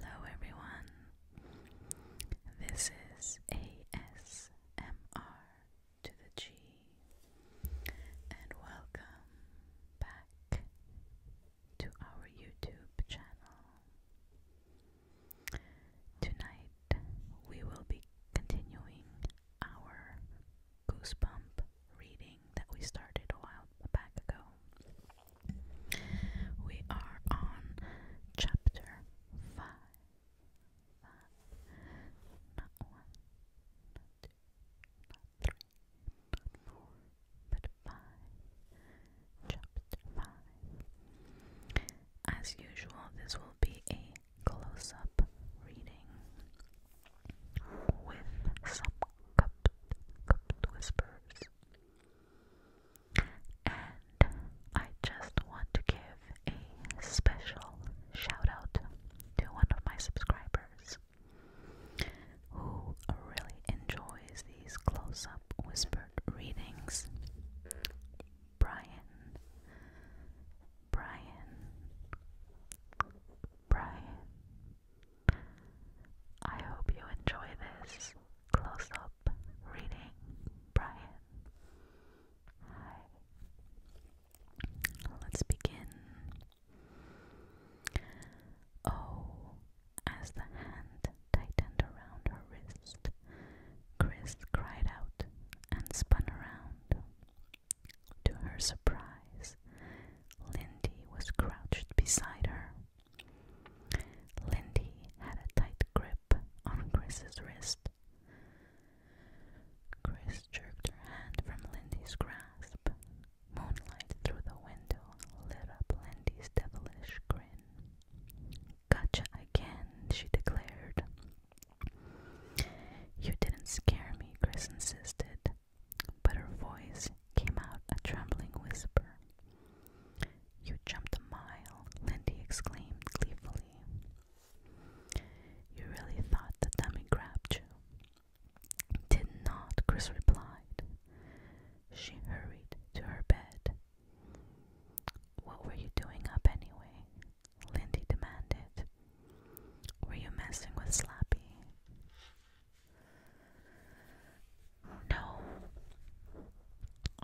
Hello everyone. This is ASMR to the G and welcome back to our YouTube channel. Tonight we will be continuing our Goosebump reading that we started a while back ago. We are on chapter 5. five Chapter 5. As usual, this will be a close up reading with some cupped, cupped whispers. And I just want to give a special shout out to one of my subscribers who really enjoys these close up whispered readings. Brian, Brian, Brian. I hope you enjoy this close up reading, Brian. Hi. Let's begin. Oh, as the hand tightened around her wrist, Chris cried out and spun around. To her surprise, Lindy was crouched beside her. Lindy had a tight grip on Chris's wrist. Chris jerked her hand from Lindy's grasp. Moonlight through the window lit up Lindy's devilish grin. Gotcha again, she declared. You didn't scare me, Chris insisted, but her voice came out a trembling whisper. You jumped a mile, Lindy exclaimed gleefully. You really thought the dummy grabbed you? Did not, Chris replied. She hurried to her bed. What were you doing up anyway? Lindy demanded. Were you messing with Slappy? No.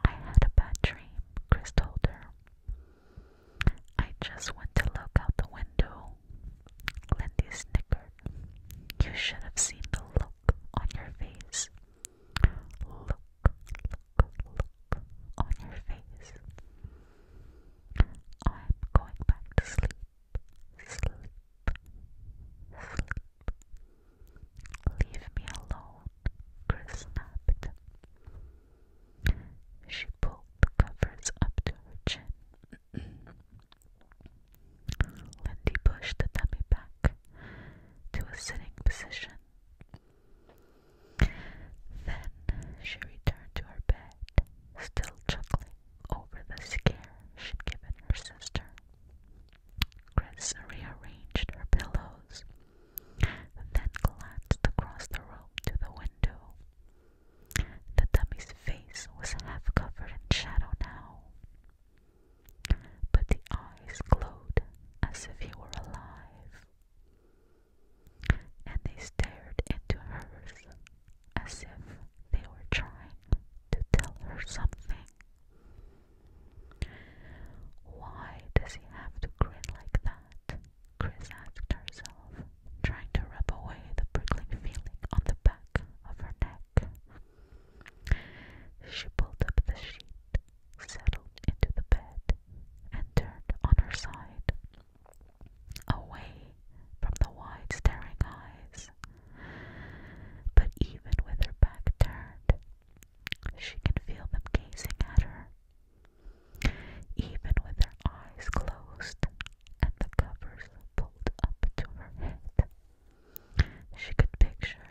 I had a bad dream, Chris told her. I just went to look out the window. Lindy snickered. You should have seen the look on your face. Look, on your face. I'm going back to sleep. Sleep. Sleep. Leave me alone, Chris snapped. She pulled the covers up to her chin. Lindy pushed the dummy back to a sitting position then she returned to her bed, still chuckling over the scare she'd given her sister. Chris rearranged her pillows, then glanced across the room to the window. The dummy's face was half covered in shadow now, but the eyes glowed as if he were alive and they stared into hers as if they were trying to tell her something. Why does he have to grin like that? Chris asked herself, trying to rub away the prickling feeling on the back of her neck. She pulled up the sheet, settled into the bed, and turned on her side, away from the wide staring eyes. But even with her back turned, she can feel them gazing at her. Even with her eyes closed and the covers pulled up to her head, she could picture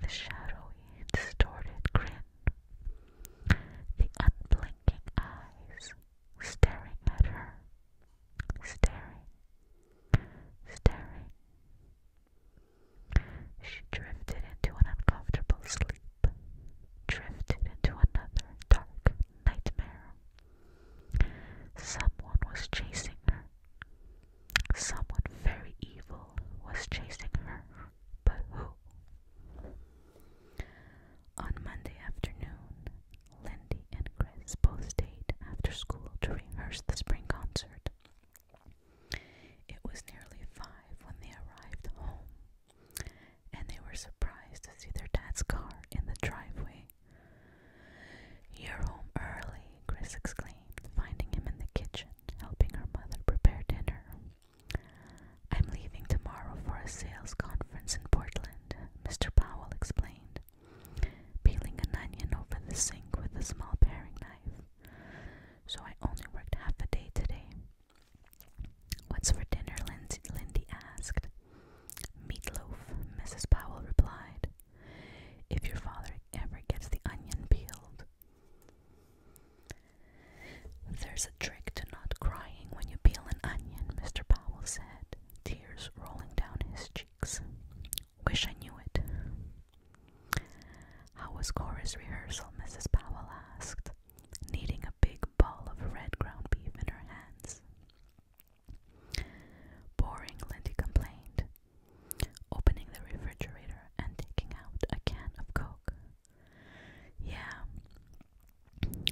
the shadowy, distorted grin, the unblinking blinking eyes, staring at her, staring, staring. She drifted into an uncomfortable sleep, drifted into another dark nightmare. Someone was chasing her. Someone very evil was chasing her, but who? On Monday afternoon, Lindy and Chris both stayed after school to rehearse the spring concert. It was nearly five when they arrived home, and they were surprised to see their dad's car in the driveway. You're home early, Chris exclaimed, finding him in the kitchen, helping her mother prepare dinner. I'm leaving tomorrow for a sales conference in Portland, Mr. Powell explained, peeling an onion over the sink with a small paring knife. So I only worked half a day today. What's for dinner? Lindsay, Lindy asked. Meatloaf, Mrs. Powell replied. If your father ever gets the onion peeled. There's a trick to not crying when you peel an onion, Mr. Powell said, tears rolling down his cheeks. Wish I knew it. How was chorus rehearsal? Mrs. Powell asked, kneading a big ball of red ground beef in her hands. Boring, Lindy complained, opening the refrigerator and taking out a can of Coke. Yeah.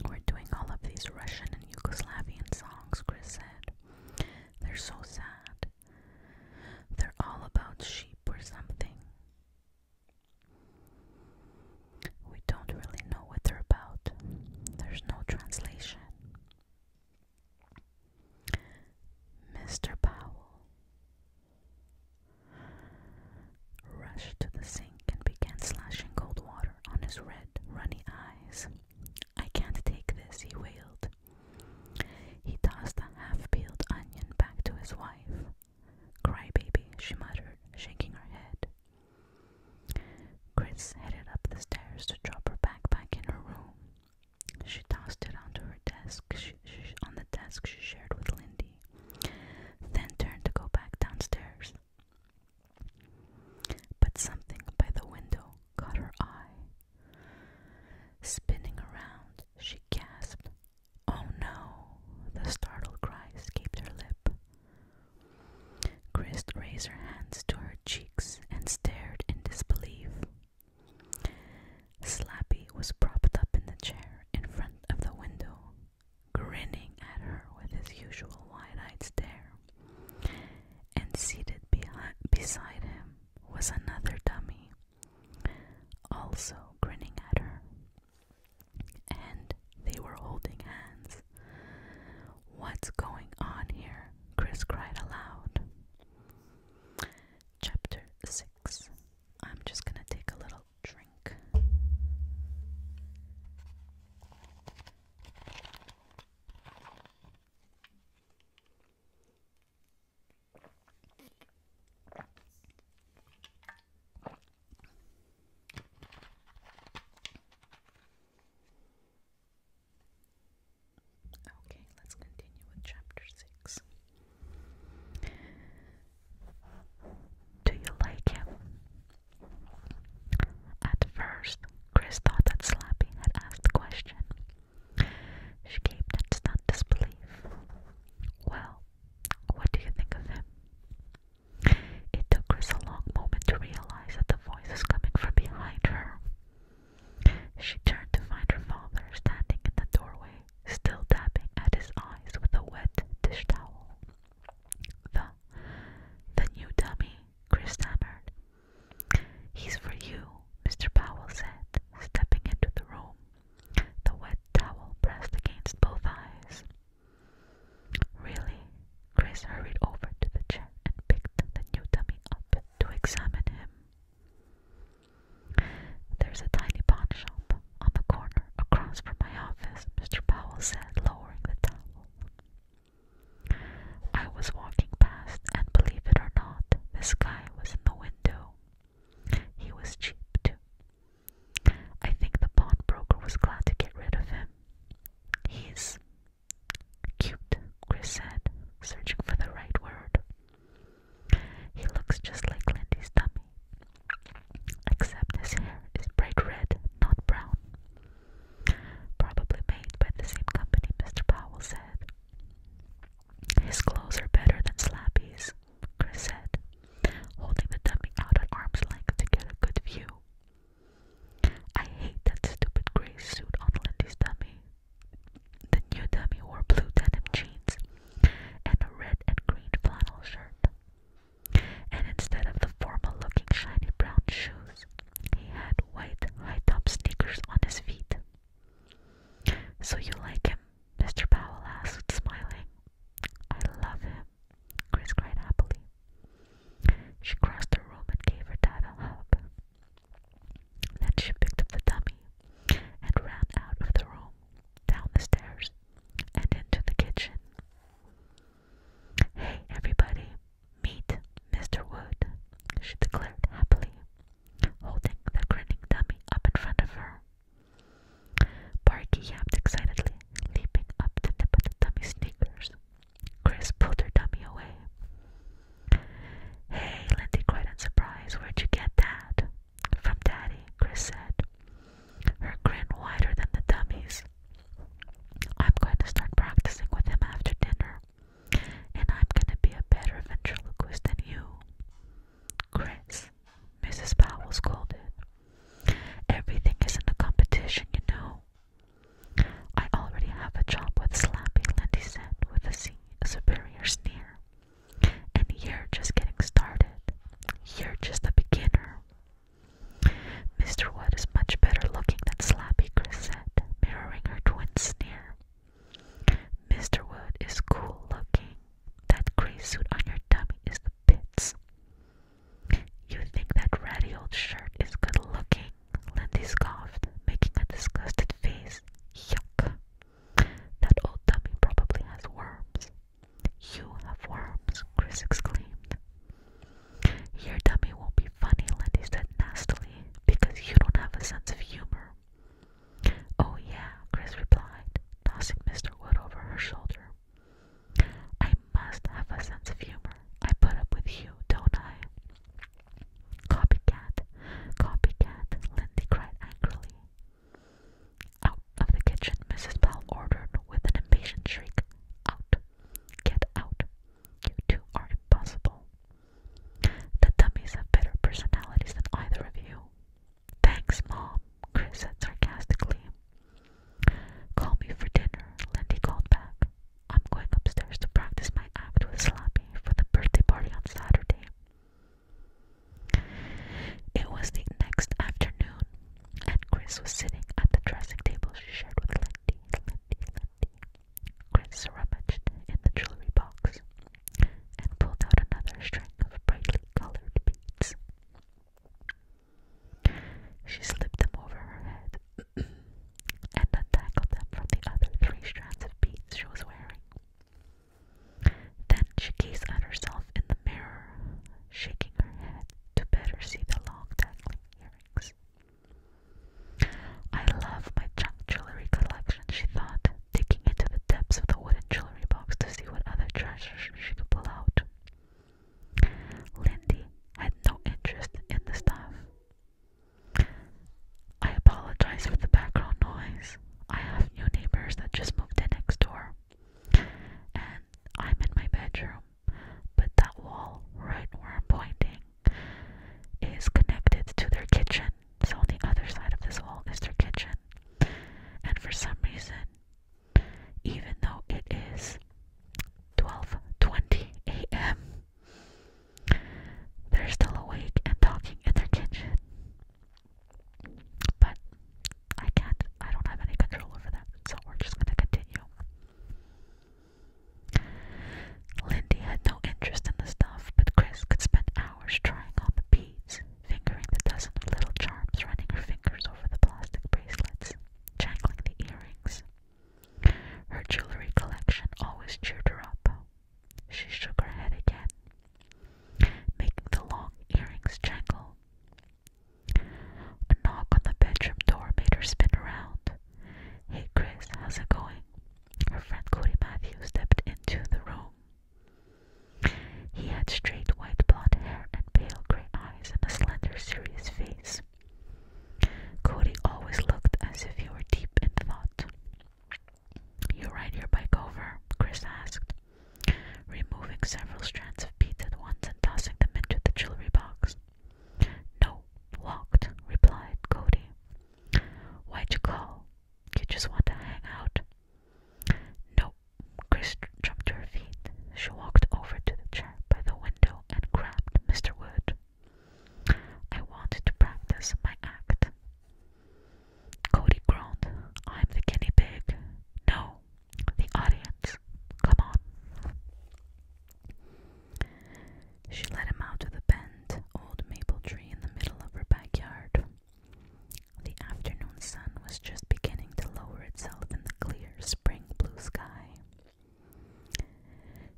We're doing all of these Russian and Yugoslavian songs, Chris said. They're so sad. They're all about sheep or something. We don't really know what they're about. There's no translation. Mr. Powell, rushed to the sink and began slashing cold water on his red, runny eyes. I can't take this, he wailed. He tossed a half peeled onion back to his wife. Crybaby, she muttered, shaking her head. Chris headed up the stairs to drop her backpack in her room. She tossed it onto her desk on the desk she shared with Lindy then turned to go back downstairs. But something by the window caught her eye. Spinning around, she gasped, Oh no! The startled cry escaped her lip. Christ raised her hands to her cheeks and stared in disbelief. Slappy was propped up in the chair in front of the window, grinning at her with his usual wide eyed stare. And seated beside him was another dummy, also grinning at her. And they were holding hands. What's going on here? Chris cried aloud. Chapter 6. I'm just gonna take a little drink. Okay, let's continue with chapter 6. Do you like him? At first, Chris thought that Slappy had asked the question. She gaped at stunned disbelief. Well, what do you think of him? It took Chris a long moment to realize that the voice was coming from behind her. She turned to find her father standing in the doorway, still dabbing at his eyes with a wet dish towel. The, the new dummy, Chris stammered. He's for you, Mr. Powell said, stepping into the room, the wet towel pressed against both eyes. Really? Chris hurried over to the chair and picked the new dummy up to examine him. There's a tiny pawn shop on the corner across from my office, Mr. Powell said, lowering the towel. I was walking past, and believe it or not, this guy was in the window. He was cheap, too. I think the pawnbroker was glad to get rid of him. He's cute, Chris said, searching for the right word. He looks just like Lindy's dummy except his hair is bright red, not brown. Probably made by the same company, Mr. Powell said. His clothes are better than Slappy's, Chris said, holding the dummy out at arm's length to get a good view. I hate that stupid gray suit on Lindy's dummy. The new dummy wore blue denim jeans and a red and green flannel shirt and instead of the formal looking shiny brown shoes, he had white high top sneakers on his feet. So you like him? Mr. Powell asked, smiling. I love him, Chris cried happily. She crossed the room and gave her dad a hug. Then she picked up the dummy and ran out of the room, down the stairs, and into the kitchen. Hey, everybody, meet Mr. Wood, she declared happily, holding the grinning dummy up in front of her. Barky yapped excitedly, leaping up to nip at the dummy's sneakers. Chris pulled her dummy away. Hey, Lindy cried in surprise, where'd you get that? From Daddy, Chris said, her grin wider than the dummies. I'm going to start practicing with him after dinner, and I'm going to be a better ventriloquist than you. Chris, Mrs. Powell scolded. Everything is in a competition, you know. I already have a job with Slappy, Lindy said with a superior sneer. And you're just getting started. You're just a beginner. Mr. Wood is much better looking than Slappy, Chris said, mirroring her twin sneer. Mr. Wood is cool looking. That gray suit on your dummy is the pits. You think that ratty old shirt is good looking? Lindy scoffed, making a disgusted face. Yuck. That old dummy probably has worms. You have worms, Chris exclaimed. Your dummy won't be funny, Lindy said nastily, because you don't have a sense of humor. Oh, yeah, Chris replied, tossing Mr. Wood over her shoulder. I must have a sense of humor. I put up with you, don't I? Copycat, copycat, Lindy cried angrily. Out of the kitchen, Mrs. Bell ordered with an impatient shriek. Out! Get out! You two are impossible. The dummies have better personalities than either of you. Thanks, Mom, Chris said sarcastically. Call me for dinner, Lindy called back. I'm going upstairs to practice my act with Slappy for the birthday party on Saturday. It was the next afternoon and Chris was sitting at the dressing table she shared with Lindy, Lindy, Lindy. Chris rummaged in the jewelry box and pulled out another string of brightly colored beads. She slipped them over her head and untangled them from the other three strands of beads she was wearing. Then she gazed at herself in the mirror, shaking her head to better see the long dangling earrings. I love my junk jewelry collection, she thought, digging into the depths of the wooden jewelry box to see what other treasures she could pull out. Lindy had no interest in the stuff. I apologize for the background noise. I have new neighbors that just moved in next door. And I'm in my bedroom, but that wall right where I'm pointing is connected to their kitchen. So on the other side of this wall is their kitchen. And for some reason, even though it is 12:20 a.m., they're still awake and talking in their kitchen. But I can't, I don't have any control over that, so we're just going to continue. Lindy had no interest in the stuff, but Chris could spend hours trying on the beads, fingering the dozen of little charms running her fingers over the plastic bracelets, jangling the earrings. Her jewelry collection always cheered her up. She shook her head again, making the long earrings jangle. A knock on the bedroom door made her spin around. Hey Chris, how's it going? Her friend Cody Matthews stepped into the room. He had straight white blond hair and pale gray eyes and a slender, serious face. Cody always looked as if he were deep in thought. You ride your bike over?" Chris asked removing several strands of beads at once and tossing them into the jewelry box. No, locked, replied Cody. Why'd you call? You just want to hang out? No. Chris jumped to her feet. She walked over to the chair by the window and grabbed Mr. Wood. I wanted to practice my act. Cody groaned. I'm the guinea pig. No, the audience. Come on. She led him out to the bent old maple tree in the middle of her backyard. The afternoon sun was just beginning to lower itself in the clear spring blue sky.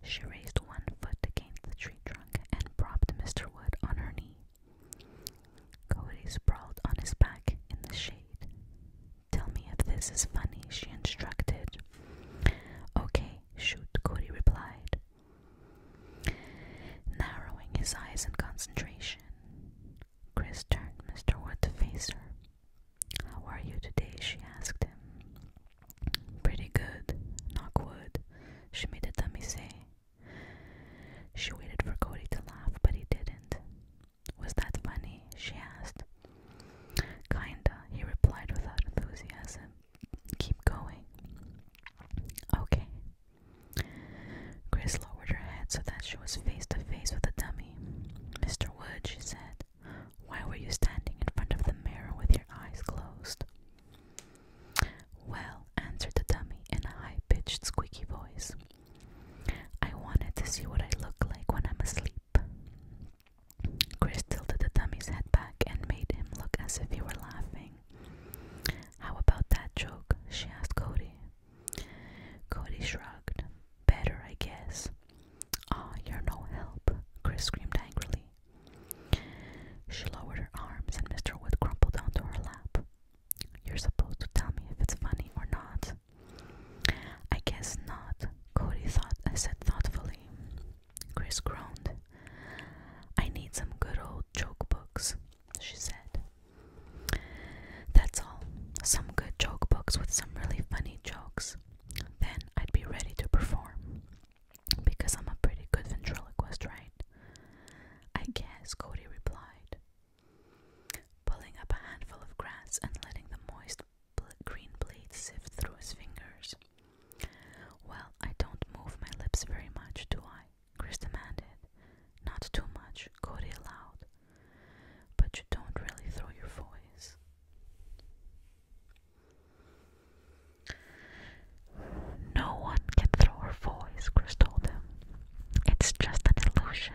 She raised one foot against the tree trunk and propped Mr. Wood on her knee. Cody sprawled on his back in the shade. Tell me if this is funny, she instructed. Okay, shoot, Cody replied, narrowing his eyes in concentration. Chris turned Mr. Wood to face her. How are you today? she asked him. Pretty good, Knockwood, she made the dummy say. She waited for Cody to laugh, but he didn't. Was that funny? she asked. Kinda, he replied without enthusiasm. Keep going. Okay. Chris lowered her head so that she was face to face with the dummy. Mr. Wood, she said, why were you standing in front of the mirror with your eyes closed? Well, answered the dummy in a high pitched, squeaky voice, I wanted to see what I look like when I'm asleep. Chris tilted the dummy's head back and made him look as if he were laughing. How about that joke? she asked Cody. Cody shrugged. Better, I guess. Aw, ah, you're no help, Chris screamed angrily. She lowered her arms and Mr. Wood crumpled onto her lap. You're supposed to tell me if it's funny or not. I guess not, Cody thought I said thoughtfully. Chris groaned. I need some good old joke books, she said. That's all. Some good joke books with some really funny jokes. Then I'd be ready to perform. Because I'm a pretty good ventriloquist, right? I guess, Cody replied. Pulling up a handful of grass and letting the moist green blade sift through his fingers. Well, I don't move my lips very much, do I? Chris demanded. Not too much, Cody allowed. But you don't really throw your voice. No one can throw her voice, Chris told him. It's just an illusion.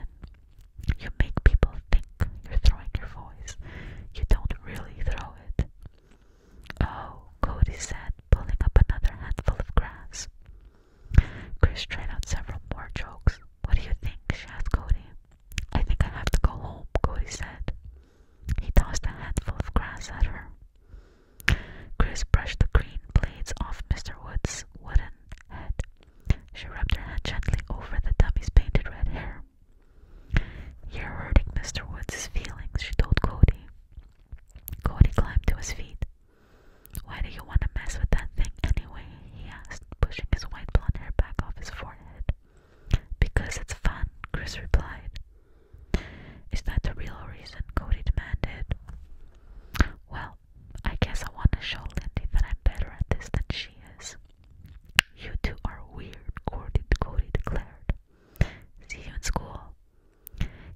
You make people think you're throwing your voice. You don't really throw it. Oh, Cody said, pulling up another handful of grass. Chris tried out several more jokes. What do you think? she asked Cody. I think I have to go home, Cody said. He tossed a handful of grass at her. Chris brushed the green blades off Mr. Wood's wooden head. She rubbed her head gently over the dummy's painted red hair. You're hurting Mr. Woods' feelings, she told Cody. Cody climbed to his feet. Why do you want to mess with that thing anyway? he asked, pushing his white blonde hair back off his forehead. Because it's fun, Chris replied. Is that the real reason? Cody demanded. Well, I guess I want to show Lindy that I'm better at this than she is. You two are weird, Cody, Cody declared. See you in school.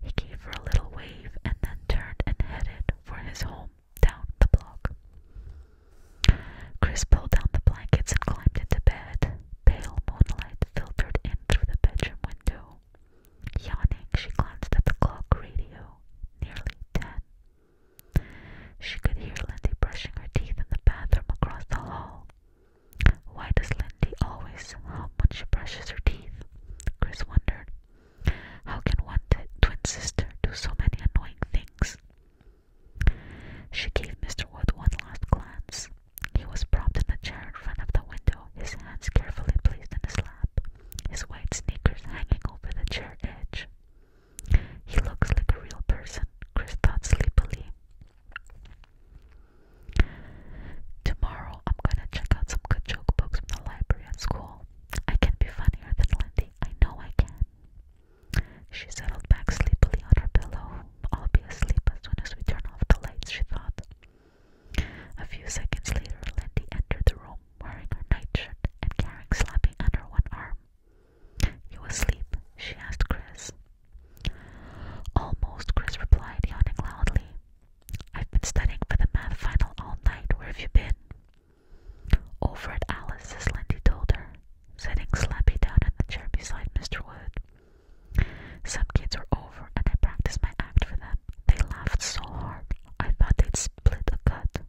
He gave her a little wave and then turned and headed for his home down the block. Chris pulled down the blankets and climbed into bed. Pale moonlight filtered in through the bedroom window. Yawning, she glanced at the clock radio. Nearly ten. She could hear Lindy brushing her teeth in the bathroom across the hall. Why does Lindy always hum when she brushes her teeth? Chris wondered. How can one twin sister do so many annoying things? She gave Mr. Wood one last glance. He was propped in the chair in front of the window, his hands carefully placed in his lap his white sneakers hanging over the chair edge. He looks like a real person, Chris thought sleepily. Tomorrow I'm gonna check out some good joke books from the library at school. I can be funnier than Lindy, I know I can. She settled back sleepily on her pillow. I'll be asleep as soon as we turn off the lights, she thought. A few seconds later, Lindy entered the room wearing her nightshirt and carrying Slappy under one arm. You asleep? she asked Chris. Almost, Chris replied, yawning loudly. I've been studying for the math final all night. Where have you been? Over at Alice's, Lindy told her, setting Slappy down in the chair beside Mr. Wood. Some kids were over and I practiced my act for them. They laughed so hard, I thought they'd split a gut.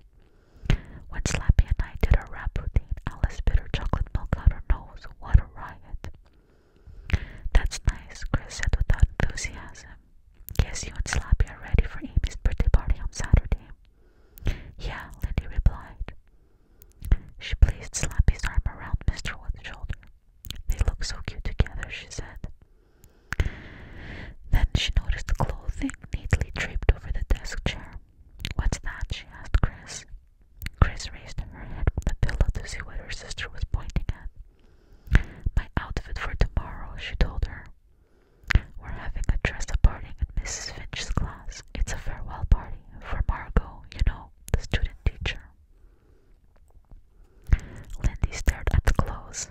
When Slappy and I did our rap routine, Alice bit her chocolate milk out her nose. What a riot. That's nice, Chris said without enthusiasm. Guess you and Slappy are ready for Amy's birthday party on Saturday. Yeah, Lindy replied. She placed Slappy's arm around Mr. Wood's shoulder. They look so cute together, she said. Then she noticed the clothing neatly draped over the desk chair. What's that? she asked Chris. Chris raised her head from the pillow to see what her sister was pointing at. My outfit for tomorrow, she told her. We're having a dress up party at Mrs. Finch's class. It's a farewell party for Margot, you know, the student teacher. Lindy stared at the clothes.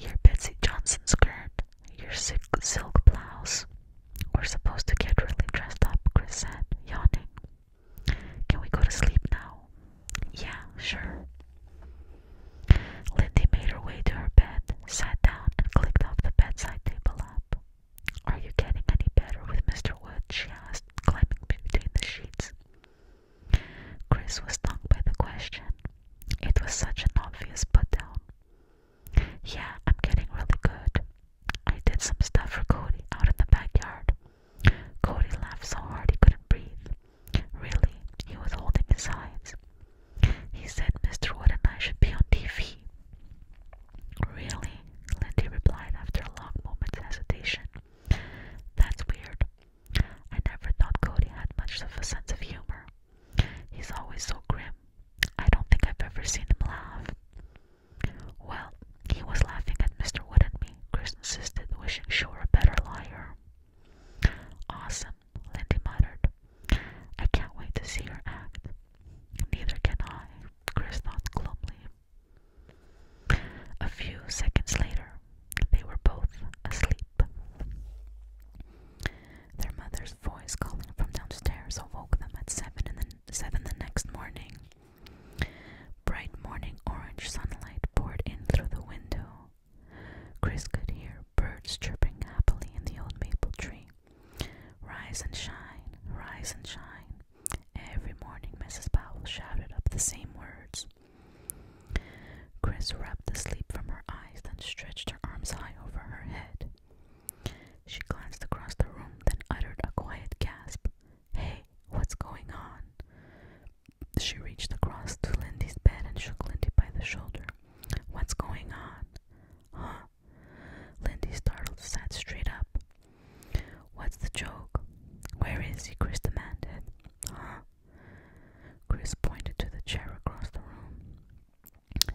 Your Betsy Johnson skirt, your silk, blouse. We're supposed to get really dressed up, Chris said, yawning. Can we go to sleep now? Yeah, sure. Lindy made her way to her bed, sat down, and clicked off the bedside table lamp. Are you getting any better with Mr. Wood? she asked, climbing between the sheets. Chris was stung by the question. It was such an obvious put down. Yeah, I'm getting really good. I did some stuff for Cody out in the backyard. Cody laughed so hard he couldn't breathe. Really, he was holding his sides. He said Mr. Wood and I should be on TV. Really? Lindy replied after a long moment's hesitation. That's weird. I never thought Cody had much of a sense of humor. He's always so grim. I don't think I've ever seen him laugh. Well, he was laughing at Mr. Wood and me, Chris insisted, wishing she were a better liar. Awesome, Lindy muttered. I can't wait to see her act. Neither can I, Chris thought gloomily. A few seconds later, they were both asleep. Their mother's voice calling from downstairs awoke them at seven And the, seven the next morning. Bright morning orange sunlight poured in through the window. Chris could hear birds chirping happily in the old maple tree. Rise and shine, rise and shine. Every morning Mrs. Powell shouted up the same words. Chris rubbed the sleep from her eyes, then stretched her arms high over her head. She glanced across the room, then uttered a quiet gasp. Hey, what's going on? She reached across to Lindy's bed and shook Lindy by the shoulder. What's going on? Huh? Lindy, startled, sat straight up. What's the joke? Where is he? Chris demanded. Chris pointed to the chair across the room.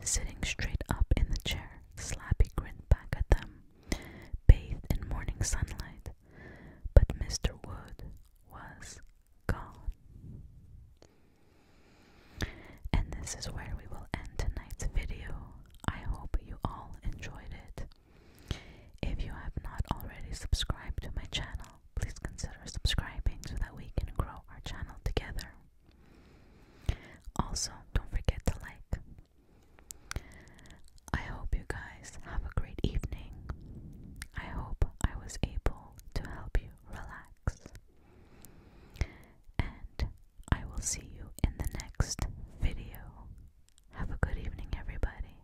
Sitting straight up in the chair, Slappy grinned back at them, bathed in morning sunlight. But Mr. Wood was gone. And this is where we will end tonight's video. I hope you all enjoyed it. If you have not already subscribed to my channel, please consider subscribing so that we can grow our channel together. Also, don't forget to like. I hope you guys have a great evening. I hope I was able to help you relax. And I will see you in the next video. Have a good evening, everybody.